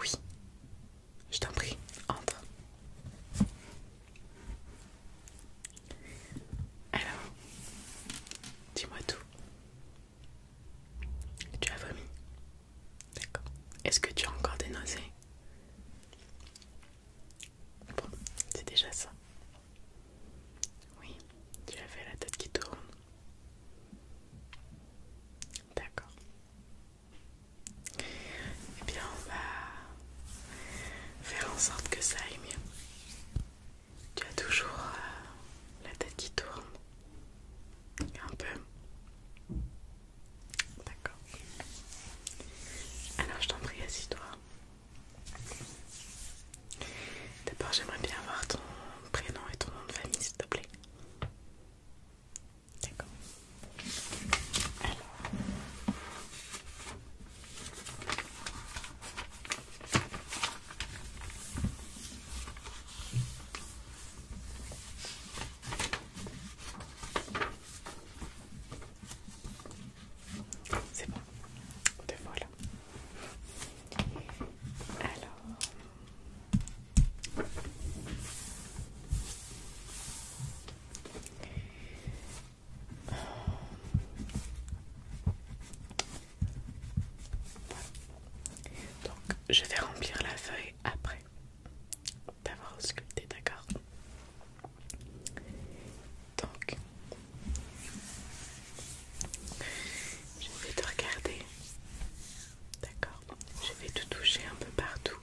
Oui, je t'en prie, entre. Alors, dis-moi tout. Tu as vomi D'accord. Est-ce que tu as encore des nausées Bon, c'est déjà ça. Oui, tu fait la tête qui tourne. D'accord. Eh bien, on va faire en sorte que ça aille mieux. Tu as toujours euh, la tête qui tourne. Un peu. D'accord. Alors je t'en prie, assis-toi. D'abord, j'aimerais bien avoir ton prénom et ton nom de famille, s'il te plaît. D'accord. C'est bon, te là. Alors, donc je vais remplir la feuille après d'avoir sculpté, d'accord Donc, je vais te regarder, d'accord Je vais te toucher un peu partout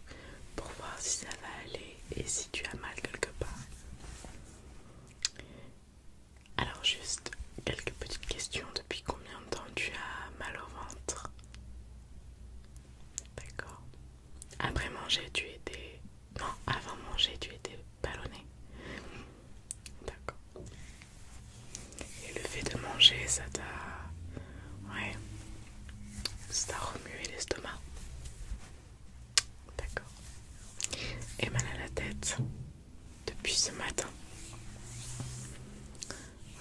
pour voir si ça va aller et si tu as mal quelque part. Alors juste quelques petites questions. Depuis combien de temps tu as mal au ventre D'accord. Après manger, tu étais. Non, avant manger, tu étais ballonné. D'accord. Et le fait de manger, ça t'a. Ouais. Ça t'a remué l'estomac. D'accord. Et mal à la tête depuis ce matin.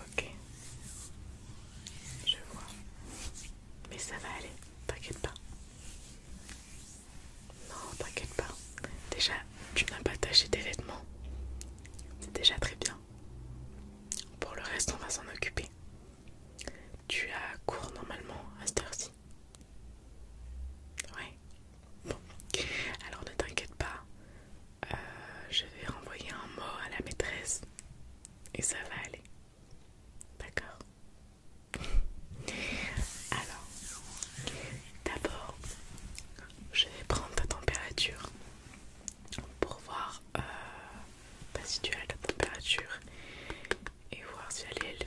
Ok. Je vois. Mais ça va aller, t'inquiète pas. Non, t'inquiète pas. Déjà, tu n'as pas taché tes vêtements. C'est déjà très bien. Pour le reste, on va s'en occuper. Tu as cours normalement à cette heure-ci. Ouais. Bon. Alors ne t'inquiète pas. Euh, je vais renvoyer un mot à la maîtresse et ça va aller. D'accord Alors, d'abord, je vais prendre ta température pour voir euh, bah, si tu as la température et voir si elle est élevée.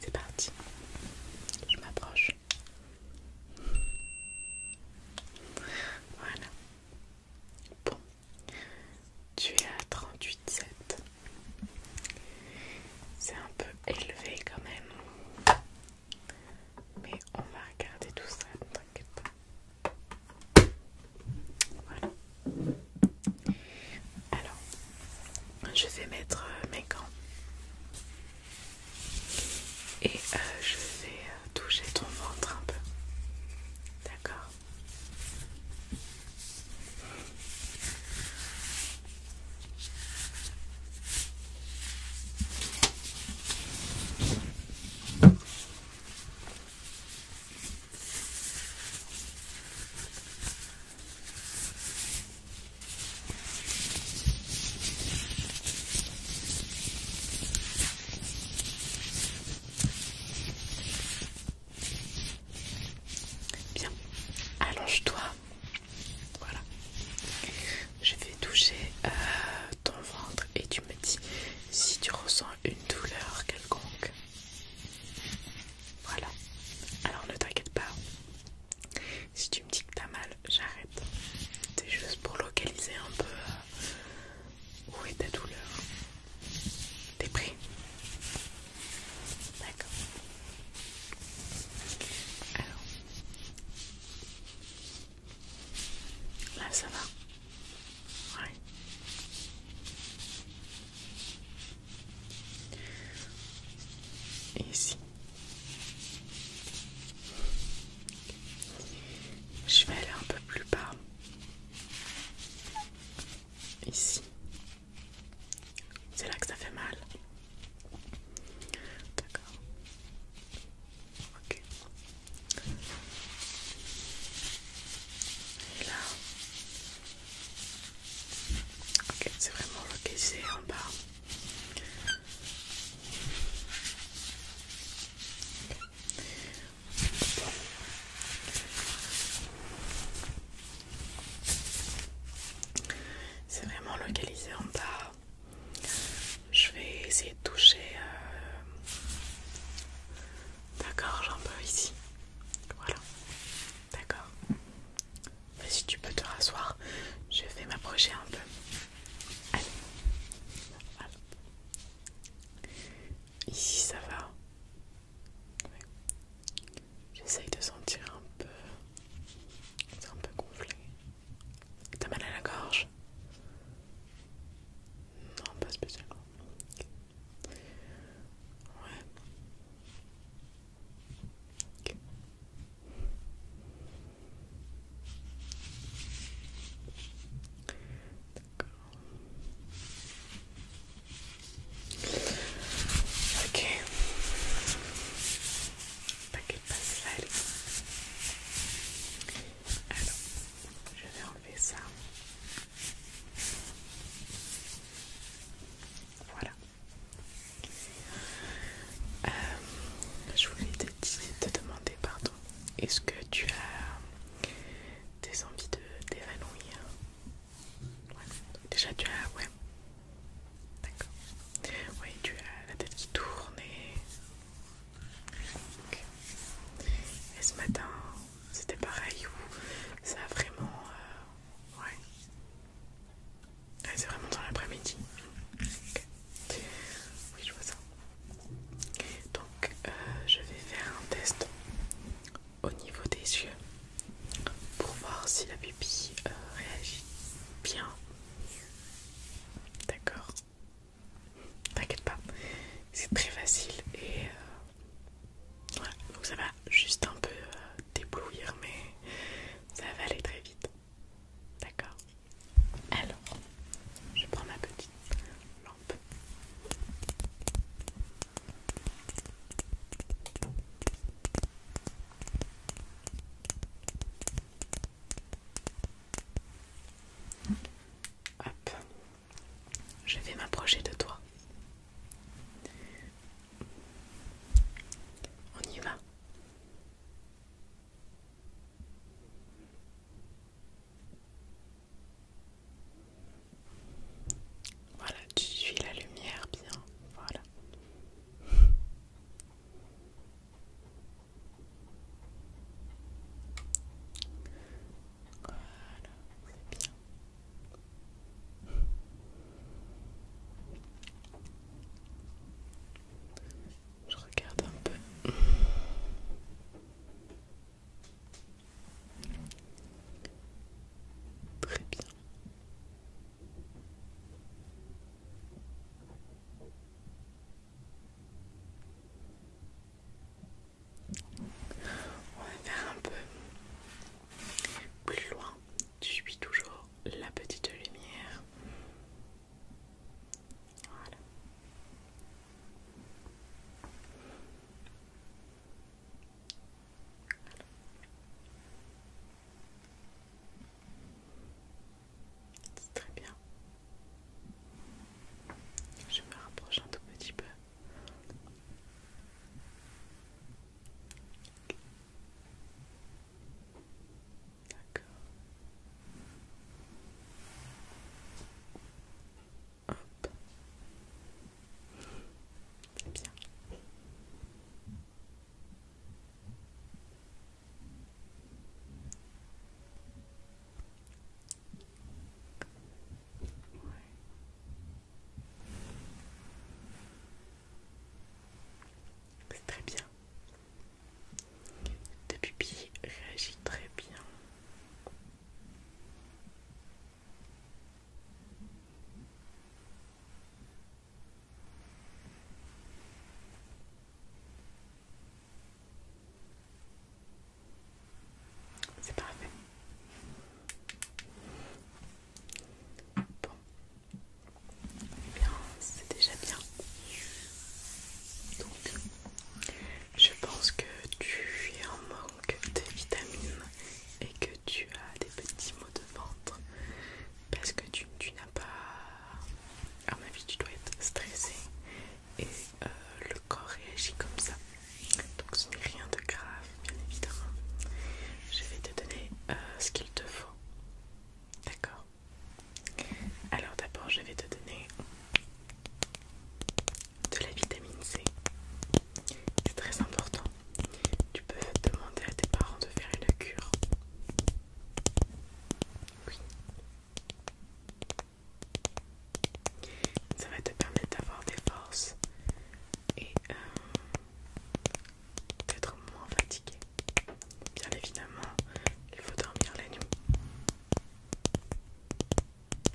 C'est parti, je m'approche. Voilà. Bon, tu es à 38,7. C'est un peu élevé quand même. Mais on va regarder tout ça, ne t'inquiète pas. Alors, je vais mettre euh, mes gants et euh, je vais euh, toucher ton ventre un peu. D'accord Bien, allonge-toi. Voilà. Je vais toucher euh, ton ventre et tu me dis si tu ressens une douleur quelconque. Voilà. Alors ne t'inquiète pas. Si tu me dis que t'as mal, j'arrête. C'est juste pour localiser un peu euh, où est ta douleur. T'es prêt D'accord. Alors. Là ça va ici, je vais aller un peu plus bas. Ici, c'est là que ça fait mal. D'accord. Ok. là, Ok, c'est vraiment localisé en bas. C'est vraiment localisé en bas. Je vais essayer de toucher. Euh... gorge un peu ici. Voilà. D'accord. Si tu peux te rasseoir, je vais m'approcher un peu. Allez. Ici ça va. J'essaye de sentir un peu. C'est un peu gonflé. T'as mal à la gorge Non, pas spécialement. Ouais. Okay. D'accord. Ok. T'inquiète pas, ça allez. Alors, je vais enlever ça. Voilà. Euh, je voulais te, demander, pardon, est-ce que tu as des envies de t'évanouir Déjà, tu as... Ouais. D'accord. tu as la tête qui tourne Et ce matin, c'était pareil ou ça a vraiment euh, ouais c'est vraiment dans l'après-midi oui je vois ça donc euh, je vais faire un test au niveau des yeux pour voir si la pupille euh, réagit bien d'accord T'inquiète pas, c'est très facile et donc ça va juste un peu déblouir, euh, mais ça va aller très vite. D'accord Alors, je prends ma petite lampe. Hop. Je vais m'approcher de toi. On y va. Voilà, tu suis la lumière bien. Voilà. Voilà, c'est bien. Je regarde un peu. Très bien. On va faire un peu plus loin. Je suis toujours la petite lumière. Voilà. C'est très bien. Je me rapproche un tout petit peu. D'accord. Hop. Bien. C'est très bien. tes pupille réagit Très bien. C'est parfait. Bon. bien, c'est déjà bien. Donc, je pense que tu es en manque de vitamines et que tu as des petits maux de ventre parce que tu, n'as pas... À ma avis, tu dois être stressé et euh, le corps réagit comme ça. Donc ce n'est rien de grave, bien évidemment. Je vais te donner euh, ce qu'il te faut. D'accord Alors d'abord, je vais te donner de la vitamine C. C'est très important. Tu peux demander à tes parents de faire une cure. Oui. Ça va te permettre d'avoir des forces et euh, d'être moins fatigué. Bien évidemment, il faut dormir la nuit.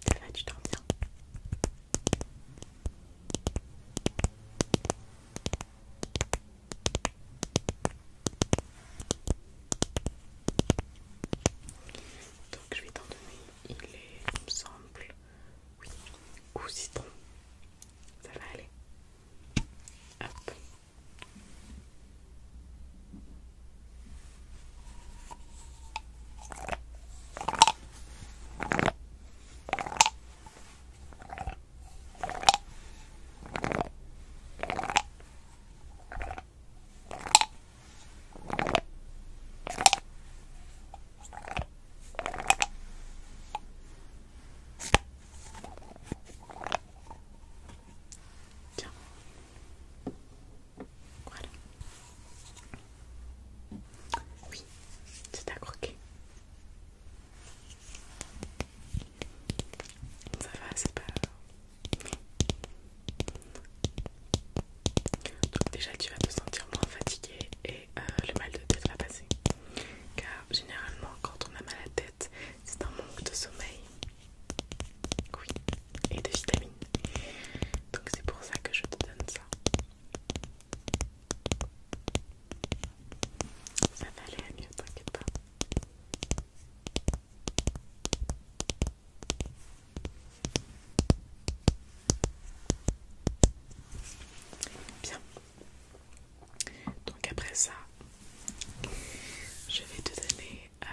Ça va, tu dors bien. Donc je vais t'en donner il est, il me semble, oui, aussi bon. Ça va aller. Hop. Tiens. Voilà. Oui, c'est à croquer. Ça va, c'est pas... Donc déjà tu vas te sentir moins fatigué et euh, le mal de tête va passer. Car généralement quand on a mal à la tête, c'est un manque de sommeil. et de vitamines. Donc c'est pour ça que je te donne ça. Ça va aller à mieux, t'inquiète pas. Bien. Donc après ça, je vais te donner euh,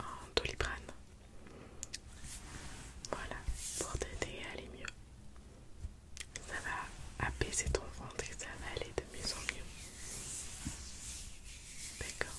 un doliprane. Voilà, pour t'aider à aller mieux. Ça va apaiser ton ventre et ça va aller de mieux en mieux. D'accord.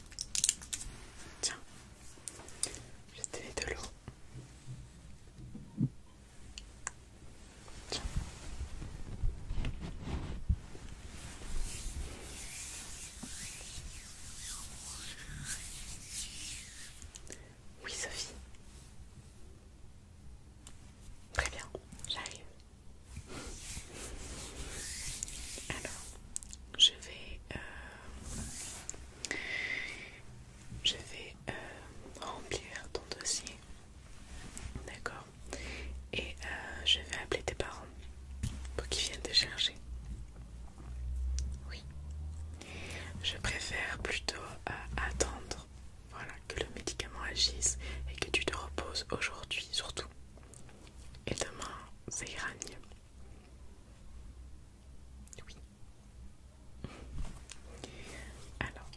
Tiens, je te de l'eau. Oui Sophie. Très bien, j'arrive. Alors, je vais, euh, je vais euh, remplir ton dossier, d'accord Et euh, je vais appeler tes parents pour qu'ils viennent te chercher. Oui. Je préfère plutôt attendre que le médicament agisse et que tu te reposes aujourd'hui surtout. Et demain, c'est Gragne. Oui. Alors.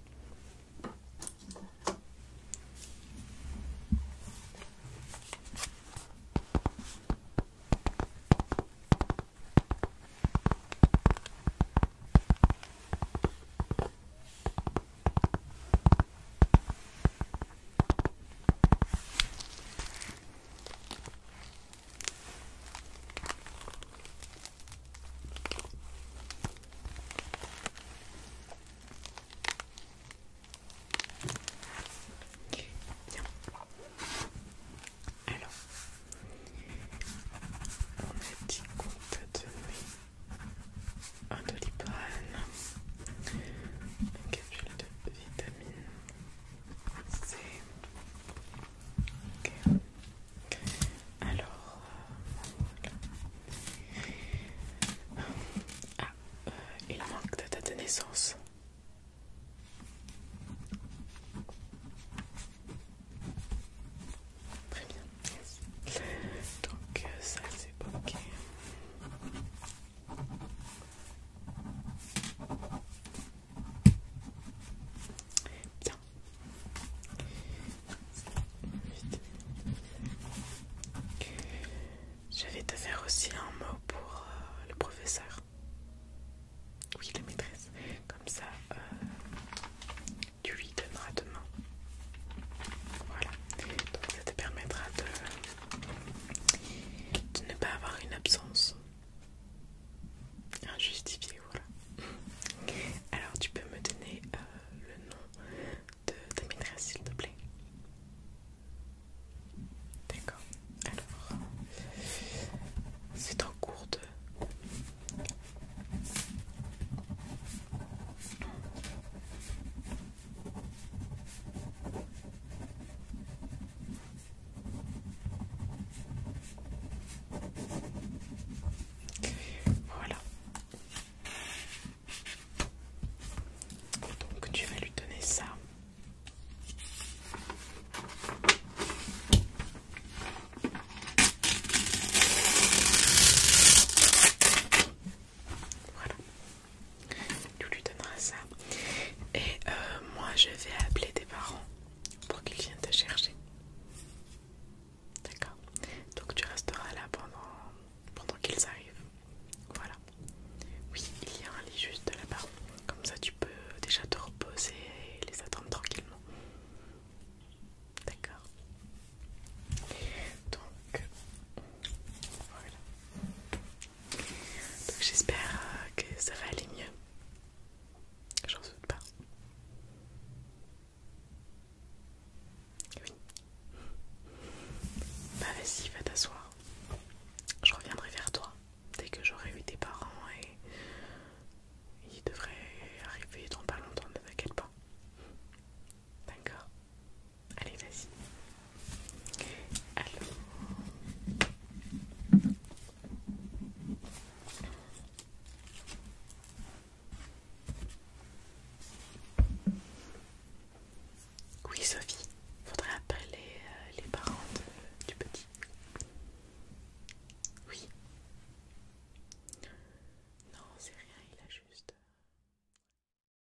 Alors, on a dit qu'on un doliprane, un vitamine C. Alors, Ah, euh, il manque de date de naissance. Très bien. Donc, euh, ça c'est ok. Tiens, Je vais te faire aussi un mot pour euh, le professeur. Oui, la maîtresse. Comme ça, euh, tu lui donneras demain. Voilà. Donc ça te permettra de de ne pas avoir une absence injustifiée, voilà. Alors tu peux me donner euh, le nom de ta s'il te plaît. D'accord. Alors, c'est en cours de... Voilà. Donc tu vas lui donner ça. Voilà. Tu lui donneras ça. Et euh, moi, je vais appeler tes parents pour qu'ils viennent te chercher. D'accord Donc tu resteras là pendant, pendant qu'ils arrivent. Voilà. Oui, il y a un lit juste là-bas. Comme ça, tu peux déjà te reposer et les attendre tranquillement. D'accord Donc, voilà. j'espère euh, que ça va aller mieux. J'en doute pas. Oui. Bah vas-y, va t'asseoir. Je reviendrai vers toi dès que j'aurai eu tes parents et ils devraient arriver dans pas longtemps, de quelque part, D'accord Allez, vas-y. Oui, Sophie, faudrait appeler euh, les parents du petit. Oui. Non, c'est rien, il a juste... Euh,